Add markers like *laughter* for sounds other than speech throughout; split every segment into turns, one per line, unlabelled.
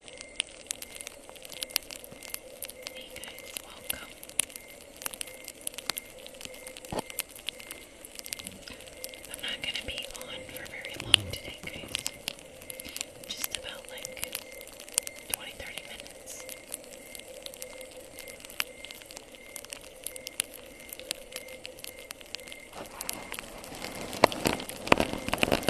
Hey guys, welcome. I'm not gonna be on for very long today, guys. Just about like 20 minutes.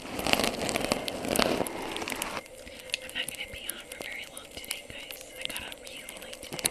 I'm not gonna be on for very long today, guys. I got up really late today.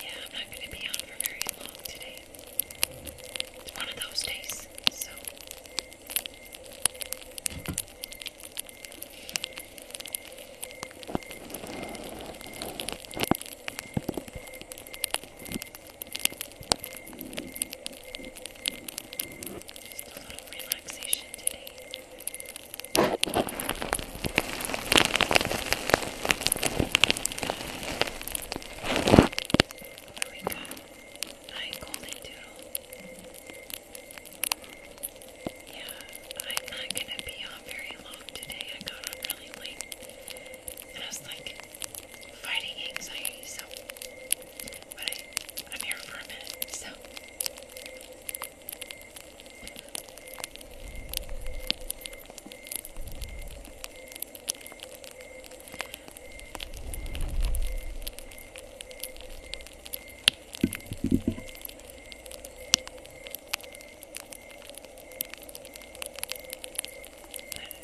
Yeah, I'm not going to be on for very long today. It's one of those days, so. Just a little relaxation today. Oh my god, I golden doodle. Yeah, I'm not gonna be on very long today. I got on really late and I was like fighting anxiety, so but I I'm here for a minute, so I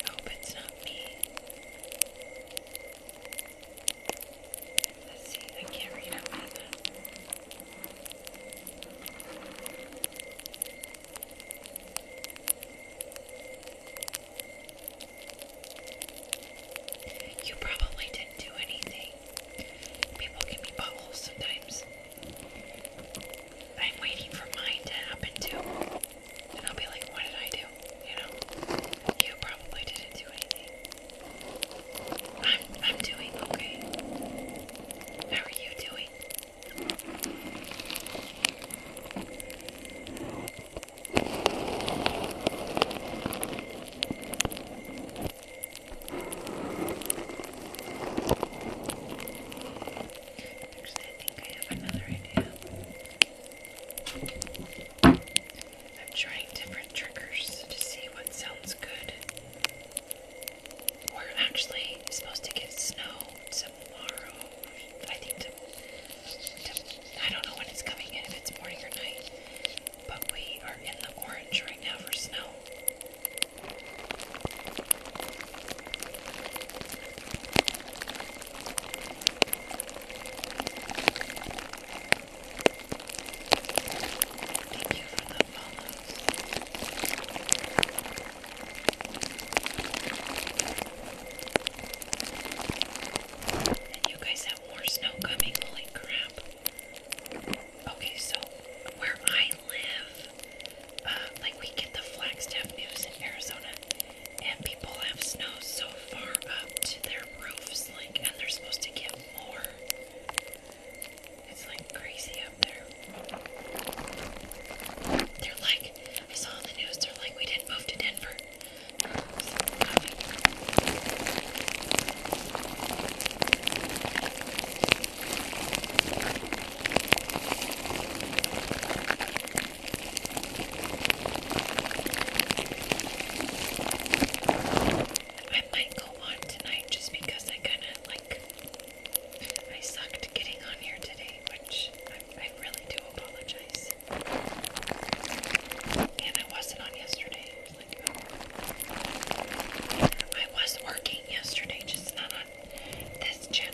hope it's not me. Let's see, I can't read out that. You probably didn't do anything. People can be buttholes sometimes. I'm waiting for mine to happen too. And I'll be like, what did I do? You know? You probably didn't do anything. I'm I'm doing okay. How are you doing? Sorry. Actually, I think I have another idea. I'm trying different triggers to see what sounds good we're actually supposed to get snow tomorrow. I think I don't know when it's coming in, if it's morning or night. But we are in the orange right now for snow you guys have more snow coming. Holy crap. Okay, so where I live, uh, like we get the Flagstaff news in Arizona, and people have snow so far up to their roofs, like, and they're supposed to get more. It's like crazy up there. They're like, I saw on the news, they're like, we didn't move to Denver. I might go on tonight just because I kind of I sucked getting on here today, which I, really do apologize. And I wasn't on yesterday. I was, oh. working yesterday, just not on this channel.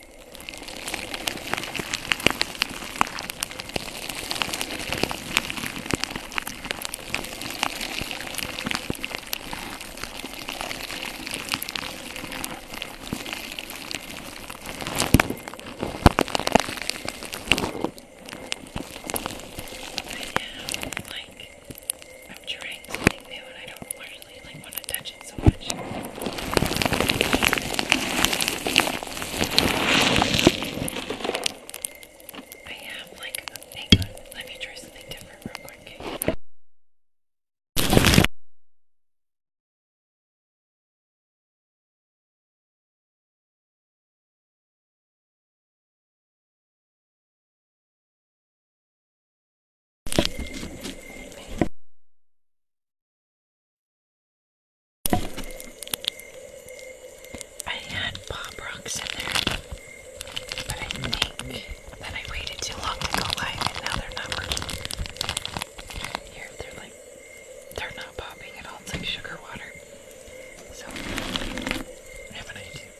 Right now, like, I'm trying something new and I don't usually like want to touch it so much. I have like a big one. Let me try something different real quick. I had Bob Rocks in there, but I think that I waited too long to go live and now they're not working. Here, they're like, they're not popping at all. It's like sugar water. So, I have an idea.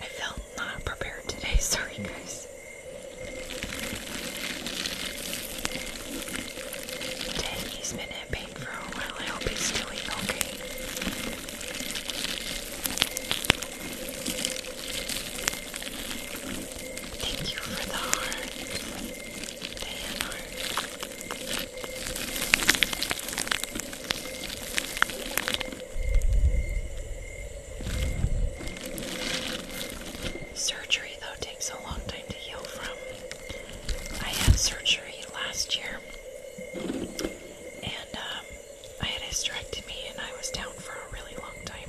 I felt not prepared today. *laughs* Sorry, guys. Dang, he's been in pain for a while. I hope he's doing okay. Thank you for the heart. Damn heart. Surgery, though, takes a long time to heal from. I had surgery last year, and um, I had a hysterectomy, and I was down for a really long time.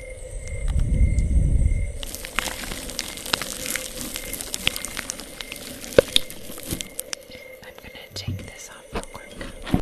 I'm gonna take this off real quick.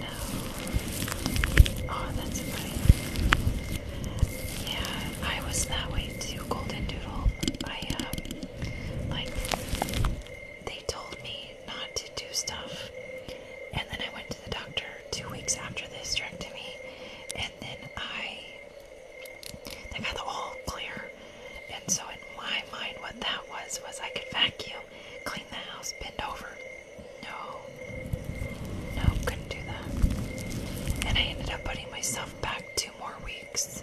No. Oh, that's funny. Yeah, I was that way too, Golden Doodle. I, um, like, they told me not to do stuff. And then I went to the doctor two weeks after this hysterectomy. And then I, they got the all clear. And so in my mind, what that was, was I could vacuum. Clean the house. Bend over. No. No, couldn't do that. And I ended up putting myself back two more weeks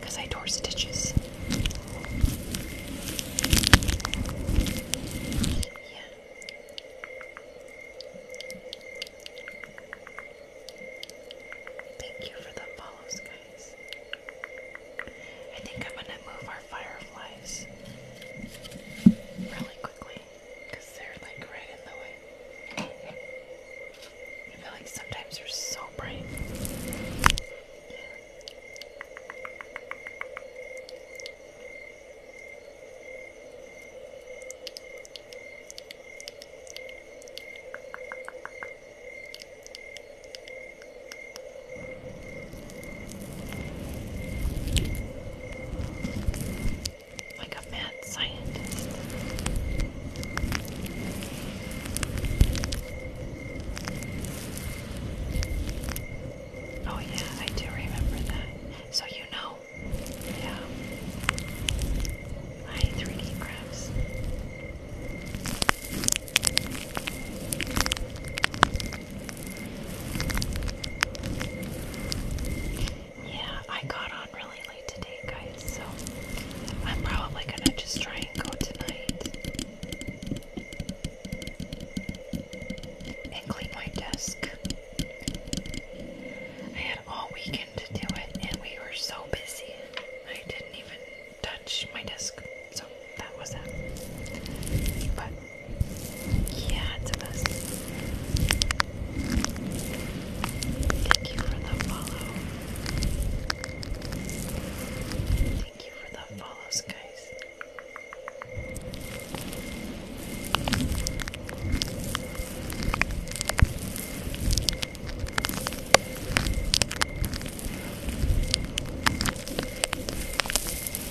because I tore stitches. Yeah. Thank you for the follows, guys. I think I'm gonna move our fire really quickly they're like right in the way. I feel like sometimes they're so bright. Like a mad scientist. Oh, yeah, I do remember that. So, you know, yeah, my 3D crafts. Yeah, I got on really late today, guys, so I'm probably gonna just try and go tonight and clean my desk. I had all weekend to do it, and we were so busy, I didn't even touch my desk. So that was that. But yeah, it's a mess. Thank you for the follow. Thank you for the follows, guys.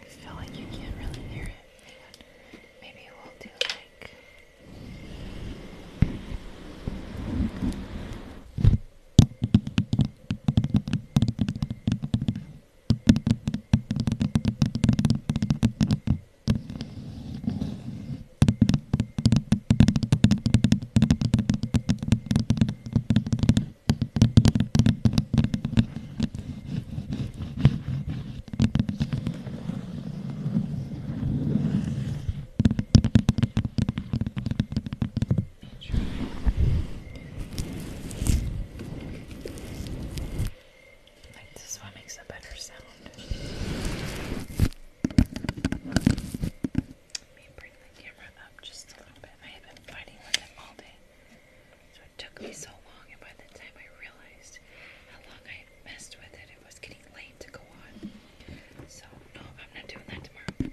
I feel like you can't really hear it. Hang on. Maybe we'll do like. I like this one makes a better sound. Let me bring the camera up just a little bit. I have been fighting with it all day. So it took me so long, and by the time I realized how long I had messed with it, it was getting late to go on. So, no, I'm not doing that tomorrow.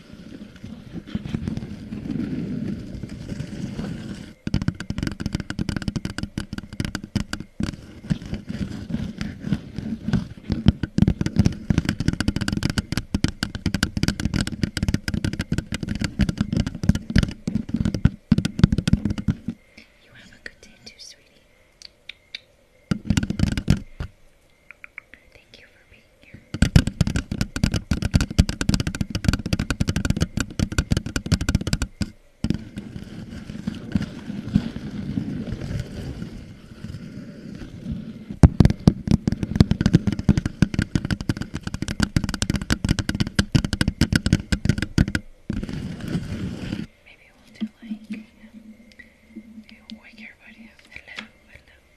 You have a good day too, sweetie. Thank you for being here. Maybe we'll do like, wake everybody Hello, hello,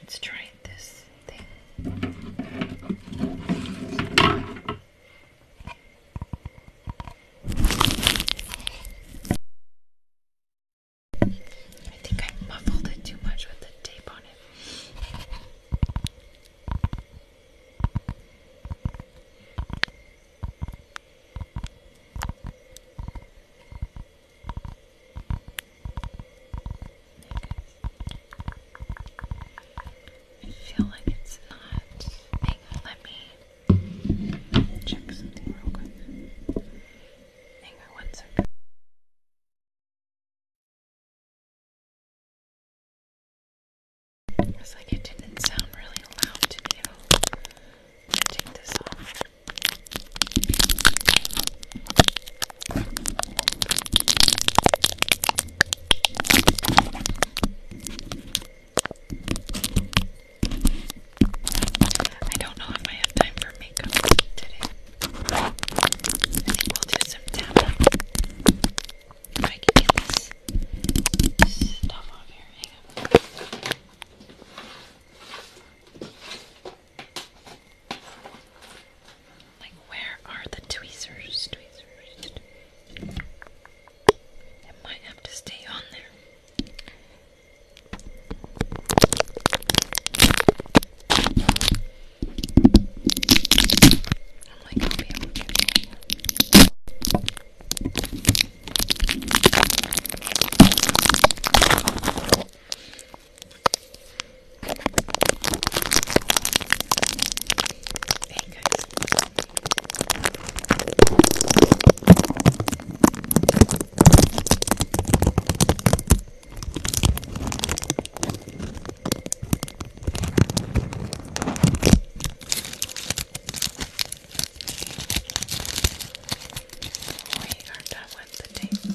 Let's try this thing. I think I muffled it too much with the tape on it. I feel like it's not. Hang let me check something real quick. Hang on one second. It's like it didn't sound really loud to me at all. take this off. I don't know if I have time for makeup today. I think we'll do some tapping. If I can get this stuff off here, hang on. Like, where are the tweezers? Tweezers. It might have to stay on there. I'm like, Hey guys. We are done with the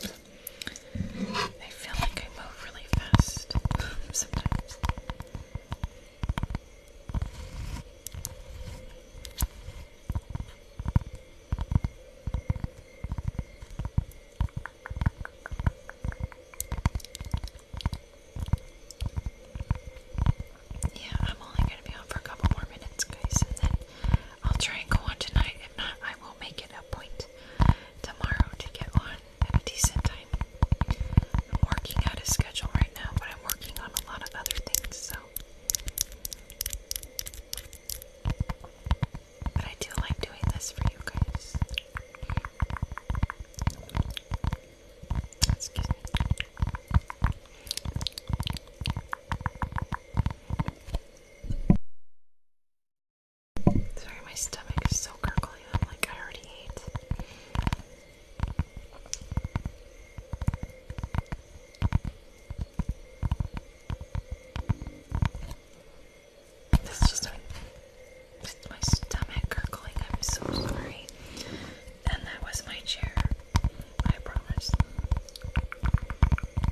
tape. I feel like I move really fast sometimes. Yeah, I'm only going to be on for a couple more minutes, guys, and then I'll try and go on tonight. If not, I will make it a point tomorrow to get on at a decent time. I'm working out a schedule right now, but I'm working on a lot of other things, so. But I do like doing this for you guys. Excuse me. Sorry, my stomach is so gurgly. I'm like, I already ate. This is just my, just my stomach gurgling. I'm so sorry. And that was my chair. I promise.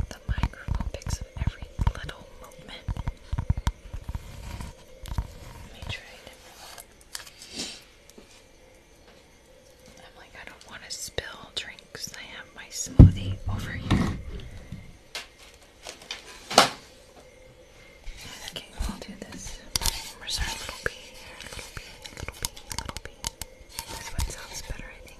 The microphone picks up every little movement. Let me try it. I'm like, I don't want to spill drinks. I have my smoothie over here. Okay, I'll do this. Where's our little bee here? Little bee, little bee, little bee. This one sounds better, I think.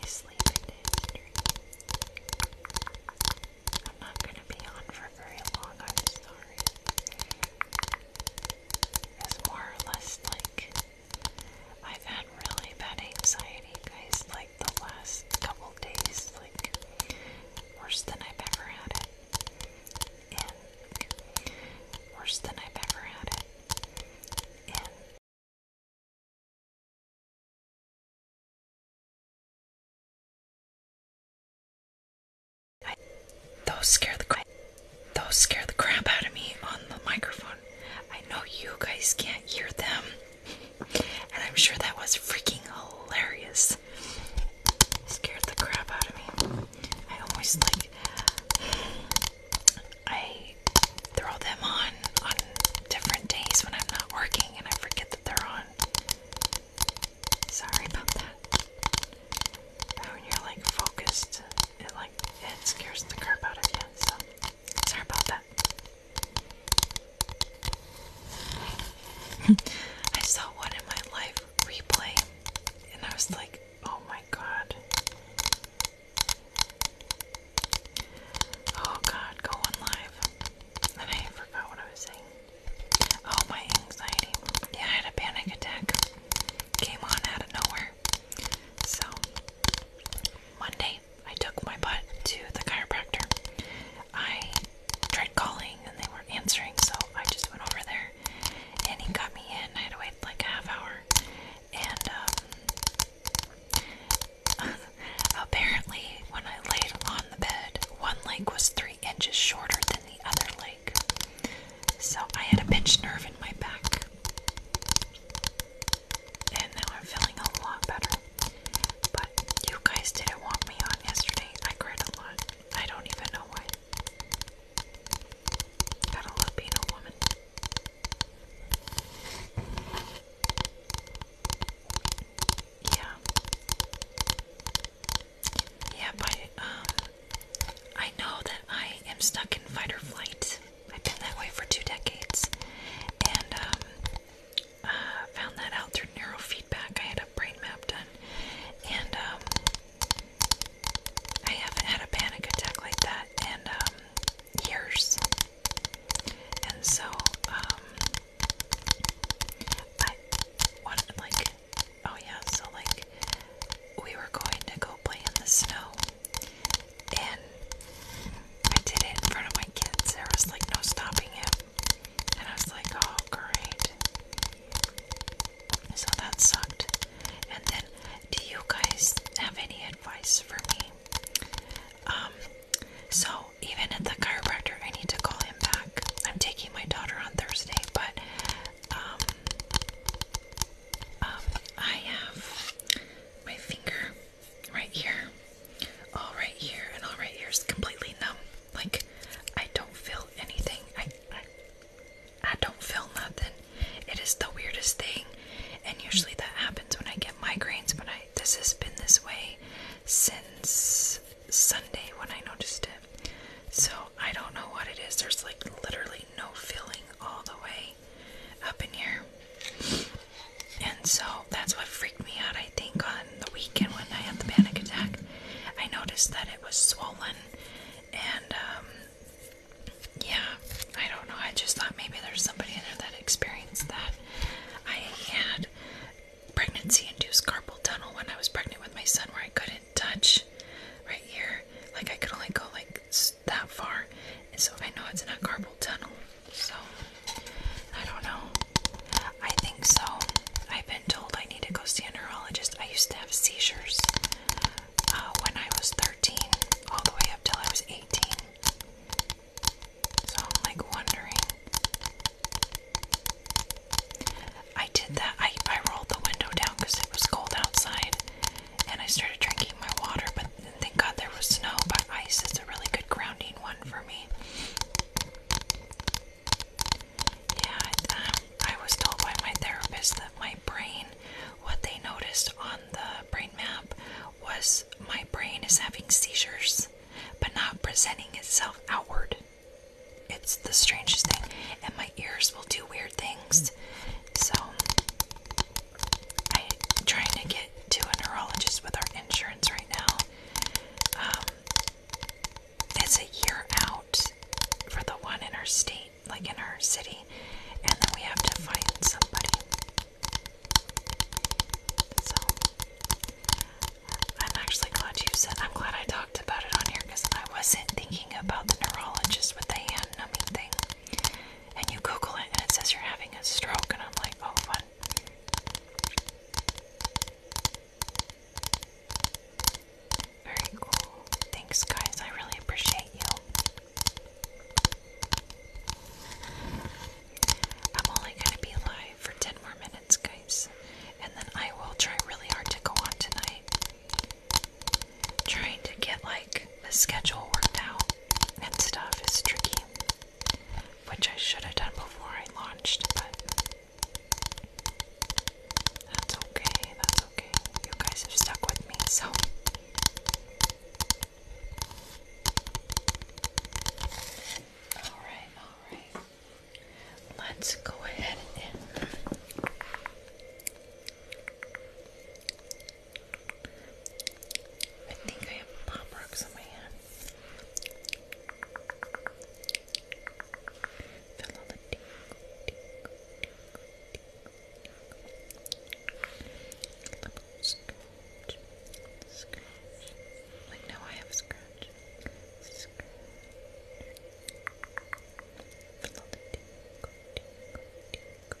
He's sleeping I'm not gonna be on for very long, I'm sorry. It's more or less like I've had really bad anxiety, guys. Like the last couple days, like worse than I've ever had it. And worse than I've ever had it. And those scare the crap. Those scare the crap out of me on the microphone. I know you guys can't hear them. And I'm sure that was freaking hilarious. Scared the crap out of me. I almost like I throw them on on different days when I'm not working and I forget that they're on. Sorry about that. But when you're like focused, it like it scares the crap out of you. So sorry about that. *laughs* I saw one in my life replay and I was like, oh my god. Oh god, go live. And I forgot what I was saying. Oh, my anxiety. Yeah, I had a panic attack. Came on out of nowhere. So, Monday, I took my butt to the chiropractor. I tried calling and they weren't answering, so I just went over there and he got me in. I had to wait like a half hour. And um, *laughs* apparently, when I laid on the bed, one leg was three inches shorter than the other leg. So I had a pinched nerve in my back. And now I'm feeling a lot better. But you guys didn't want me on yesterday. I cried a lot. I don't even know why. got love being a woman. Yeah. Yeah, but um I know that I am stuck in fight or flight. I've been that way for two decades, and um, uh, found that out through neurofeedback. I had a brain map done, and um, I haven't had a panic attack like that in um, years. And so, um, I wanted like, oh yeah, so like, we were going to go play in the snow and I did it in front of my kids. There like no stopping it. And I was like, oh, great. So that sucked. And then, do you guys have any advice for me? Um, so even at the chiropractor, I need to call him back. I'm taking my daughter on Thursday, but um, um, I have my finger right here, all right here, and all right here is completely numb. Like I don't feel anything. I, I don't feel nothing. It is the weirdest thing, and usually that happens when I get migraines. But I this has been this way since Sunday when I noticed it. So I don't know what it is. There's like literally no feeling all the way up in here. And so that's what freaked me out, I think, on the weekend when I had the panic attack. I noticed that it was swollen, and um, yeah, I don't know. I just thought maybe there's somebody in there that experienced that. I had pregnancy induced carpal tunnel when I was pregnant with my son, where I couldn't touch right here, like I could only go like that far, and so I know it's in a carpal tunnel. So I don't know. I think so. I've been told I need to go see a neurologist. I used to have seizures uh, when I was 13, all the way up till I was 18. So I'm like wondering. I did that. I I rolled the window down because it was cold outside, and I started drinking my water, but thank God there was snow, but ice is a really good grounding one for me. Yeah, um, I was told by my therapist that my brain, what they noticed on the brain map was my brain is having seizures, but not presenting itself outward. It's the strangest thing, and my ears will do weird things. So, I'm trying to get to a neurologist with our insurance right now. Um, it's a year out for the one in our state, like in our city, and then we have to find somebody. So I'm actually glad you said. I'm glad I talked about it on here because I wasn't thinking about the neurologist with the hand numbing thing and you Google it and it says you're having a stroke, and I'm like, oh, fun. Very cool. Thanks, guys. I really appreciate you. I'm only going to be live for 10 more minutes, guys. And then I will try really hard to go on tonight. Trying to get like the schedule worked out and stuff is tricky, which I should have done before I launched, but that's okay, that's okay. You guys have stuck with me, so. Alright, alright. Let's go ahead and I think I have pop rocks on my hand. Feel all the tingle, tingle, tingle, tingle. Scratch, scratch. Like now I have scratch, scratch. Feel all the tingle, tingle, tingle, tingle.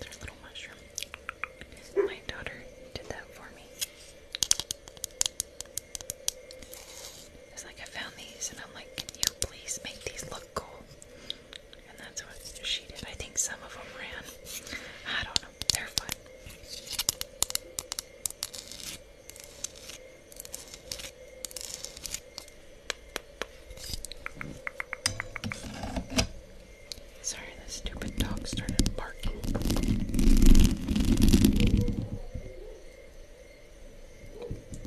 There's a little mushroom. My daughter did that for me. It's like I found these and I'm like, can you please make these look cool? And that's what she did. I think some of them ran. I don't Sorry, this stupid dog started barking.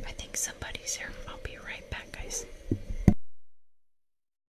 I think somebody's here. I'll be right back, guys.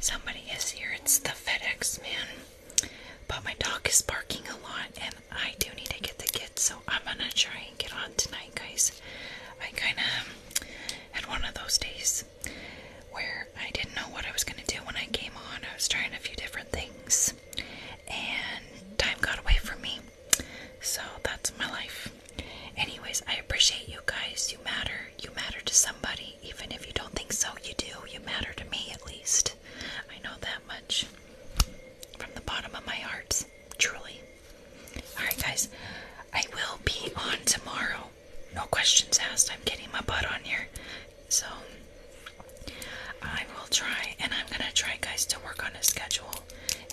Somebody is here. It's the FedEx man. But my dog is barking a lot, and I do need to get the kids, so I'm gonna try and get on tonight, guys. I kind of had one of those days where I didn't know what I was gonna do when I came on. I was trying a few different things, and time got away from me. So that's my life. Anyways, I appreciate you guys. You matter. You matter to somebody. Even if you don't think so, you do. You matter to me at least. I know that much. From the bottom of my heart. Truly. Alright, guys. I will be on tomorrow. No questions asked. I'm getting my butt on here. So I will try, and I'm gonna try, guys, to work on a schedule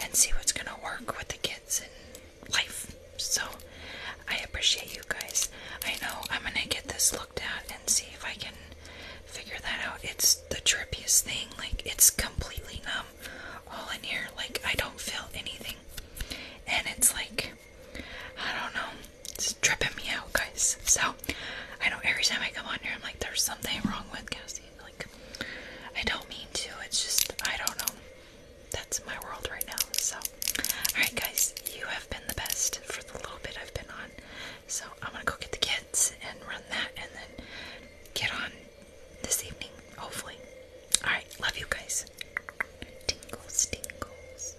and see what's gonna work with the kids and life. So I appreciate you guys. I know I'm gonna get this looked at and see if I can figure that out. It's the drippiest thing. Like it's completely numb all in here. Like I don't feel anything, and it's like I don't know. It's tripping me out, guys. So I know every time I come on here, I'm like, there's something wrong with Cassie. Like, I don't mean to. It's just, I don't know. That's my world right now. So, alright, guys, you have been the best for the little bit I've been on. So, I'm gonna go get the kids and run that and then get on this evening, hopefully. Alright, love you guys. Tingles, tingles.